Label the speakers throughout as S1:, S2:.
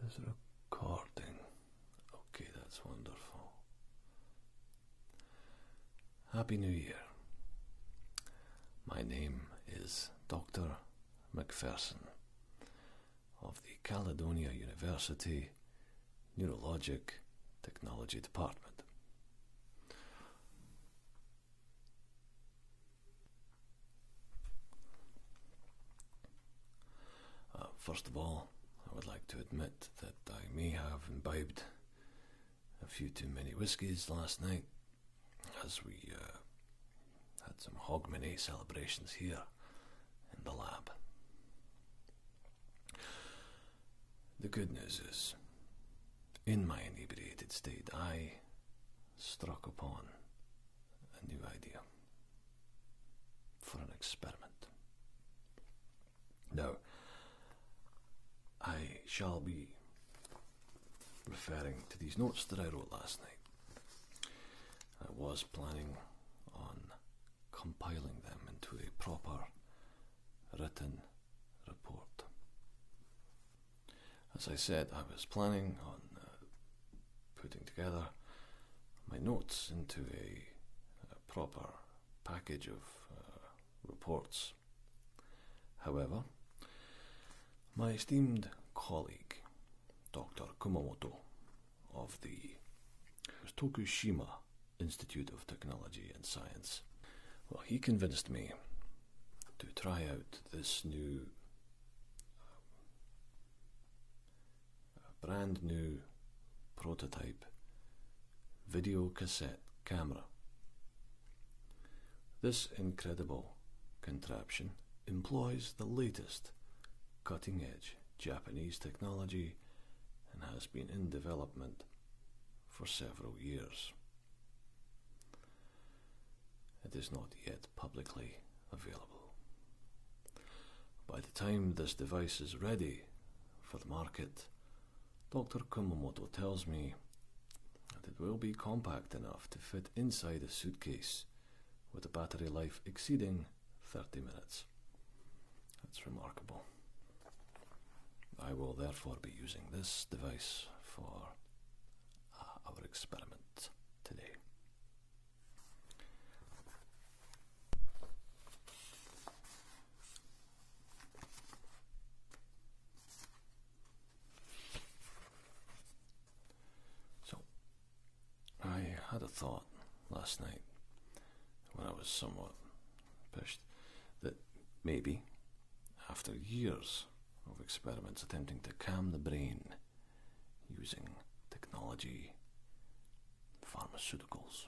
S1: This recording. Okay, that's wonderful. Happy New Year. My name is Dr. McPherson of the Caledonia University Neurologic Technology Department. Uh, first of all, I would like to admit that I may have imbibed a few too many whiskies last night as we uh, had some Hogmanay celebrations here in the lab. The good news is, in my inebriated state, I struck upon a new idea for an experiment. Now, I shall be referring to these notes that I wrote last night. I was planning on compiling them into a proper written report. As I said, I was planning on uh, putting together my notes into a, proper package of uh, reports. However, my esteemed colleague, Dr. Kumamoto of the Tokushima Institute of Technology and Science, well, he convinced me to try out this new, uh, brand new prototype video cassette camera. This incredible contraption employs the latest cutting edge Japanese technology and has been in development for several years. It is not yet publicly available. By the time this device is ready for the market, Dr. Kumamoto tells me that it will be compact enough to fit inside a suitcase with a battery life exceeding 30 minutes. That's remarkable. I will therefore be using this device for uh, our experiment today. So, I had a thought last night when I was somewhat pushed that maybe after years of experiments attempting to calm the brain using technology, pharmaceuticals,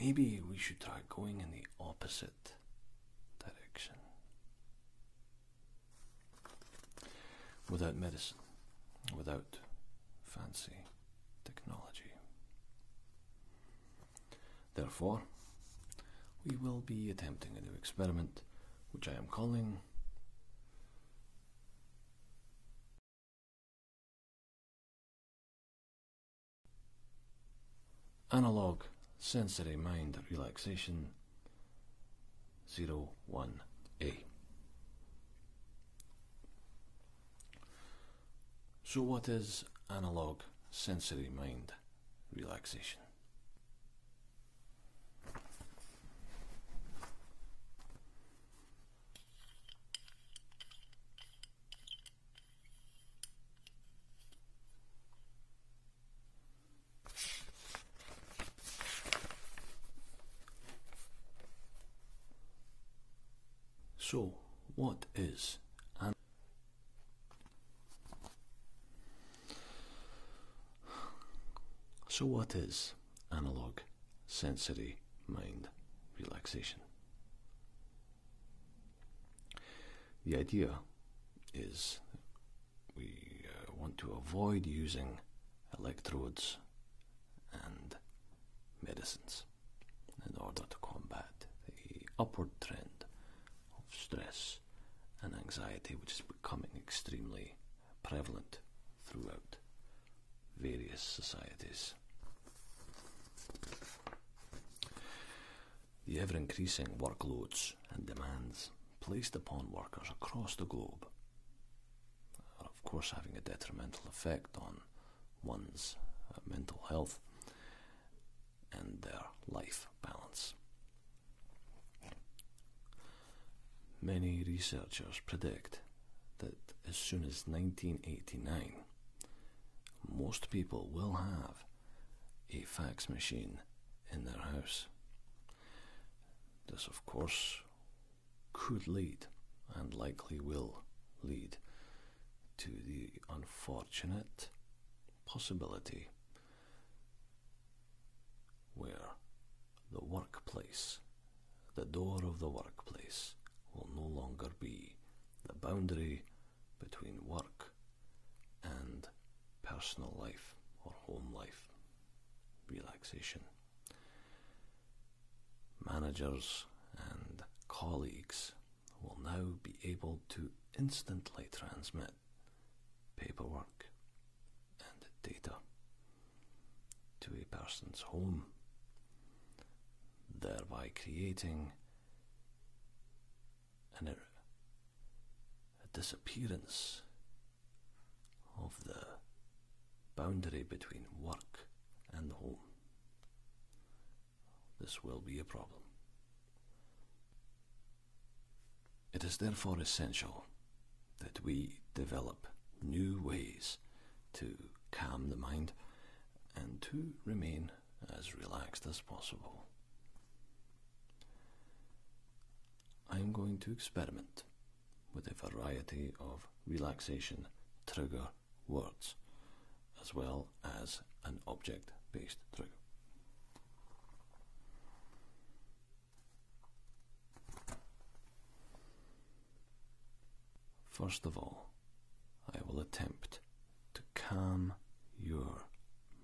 S1: maybe we should try going in the opposite direction. Without medicine, without fancy technology. Therefore, we will be attempting a new experiment which I am calling Analog Sensory Mind Relaxation 01A. So, what is analog sensory mind? relaxation. So, what is an so, what is analog sensory mind relaxation? The idea is we uh, want to avoid using electrodes and medicines in order to combat the upward trend of stress and anxiety, which is becoming extremely prevalent throughout various societies. The ever increasing workloads and demands placed upon workers across the globe are, of course, having a detrimental effect on one's uh, mental health and their life balance. Many researchers predict that as soon as 1989, most people will have a fax machine in their house. This, of course, could lead and likely will lead to the unfortunate possibility where the workplace, the door of the workplace, will no longer be the boundary between work and personal life or home life. Relaxation. Managers and colleagues will now be able to instantly transmit paperwork and data to a person's home, thereby creating er, a disappearance of the boundary between work and home this will be a problem. It is therefore essential that we develop new ways to calm the mind and to remain as relaxed as possible. I am going to experiment with a variety of relaxation trigger words, as well as an object based trigger. First of all, I will attempt to calm your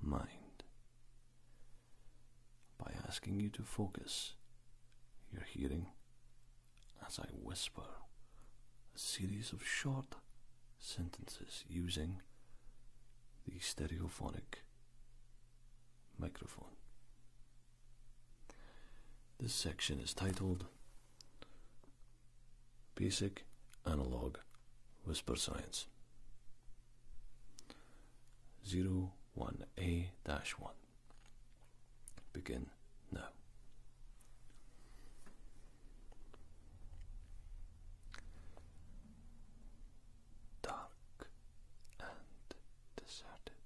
S1: mind by asking you to focus your hearing as I whisper a series of short sentences using the stereophonic microphone. This section is titled Basic Analog Whisper Science 01A 1. Begin now dark and deserted,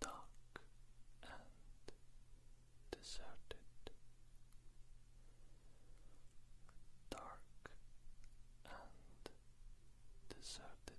S1: dark and deserted, dark and deserted.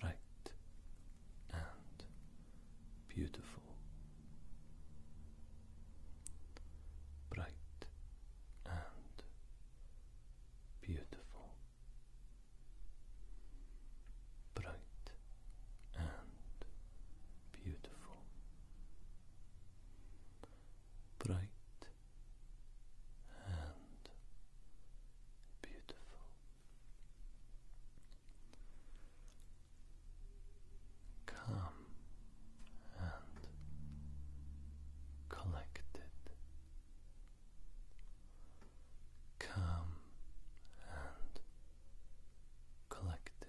S1: bright and beautiful. Bright and beautiful. Bright and beautiful. Bright and beautiful. Come and collected. Calm and collected.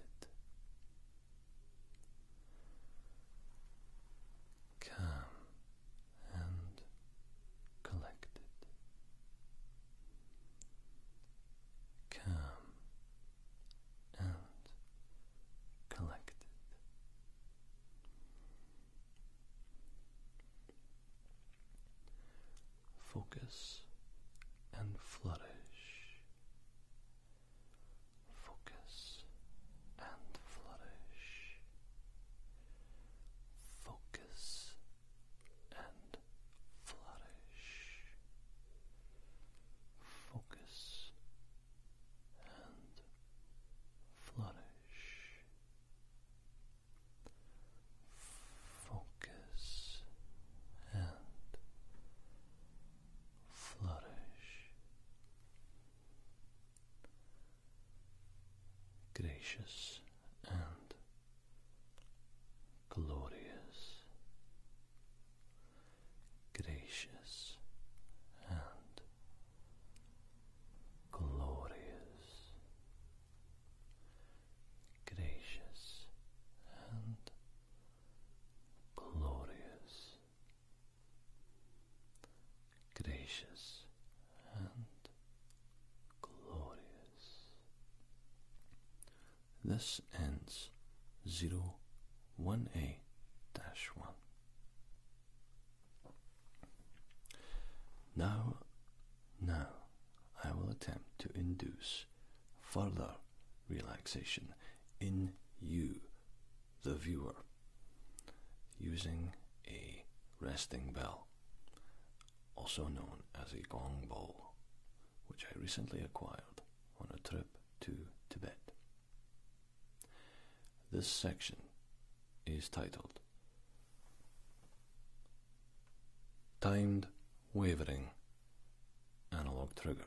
S1: Calm and collected. Calm and collected. Focus and flourish. Focus and flourish. Focus and flourish. Focus and flourish. Focus and flourish gracious and glorious, gracious and glorious, gracious and glorious gracious and glorious. This ends 018-1. Now, now I will attempt to induce further relaxation in you, the viewer, using a resting bell also known as a gong bowl, which I recently acquired on a trip to Tibet. This section is titled Timed Wavering Analog Trigger.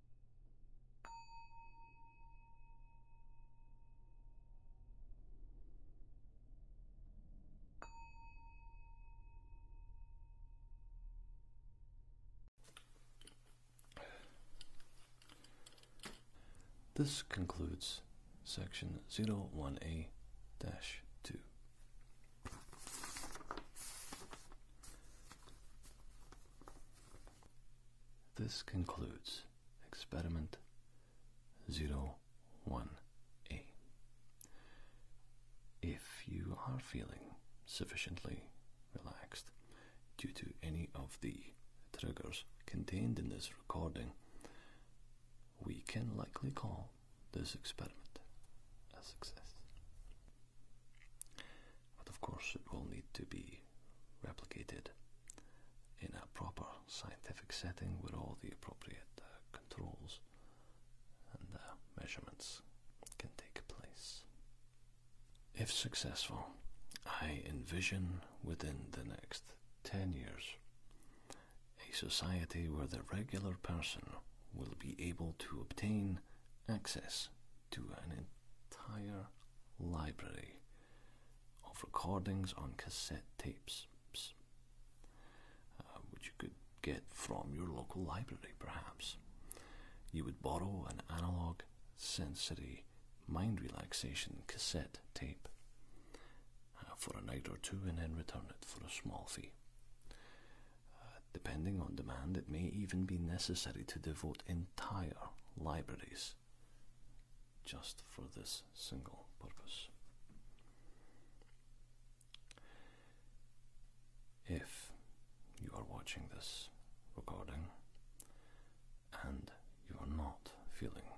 S1: This concludes section 01A 2. This concludes experiment 01A. If you are feeling sufficiently relaxed due to any of the triggers contained in this recording, we can likely call this experiment a success but of course it will need to be replicated in a proper scientific setting where all the appropriate uh, controls and uh, measurements can take place. If successful, I envision within the next 10 years a society where the regular person will be able to obtain access to an entire library of recordings on cassette tapes, uh, which you could get from your local library, perhaps. You would borrow an analog sensory mind relaxation cassette tape uh, for a night or two and then return it for a small fee depending on demand, it may even be necessary to devote entire libraries just for this single purpose. If you are watching this recording and you are not feeling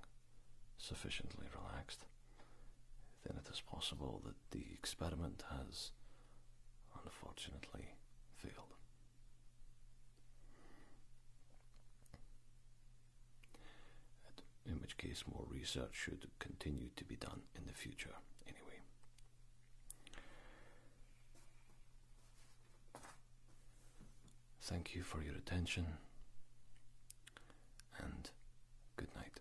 S1: sufficiently relaxed, then it is possible that the experiment has unfortunately failed. In which case, more research should continue to be done in the future, anyway. Thank you for your attention and good night.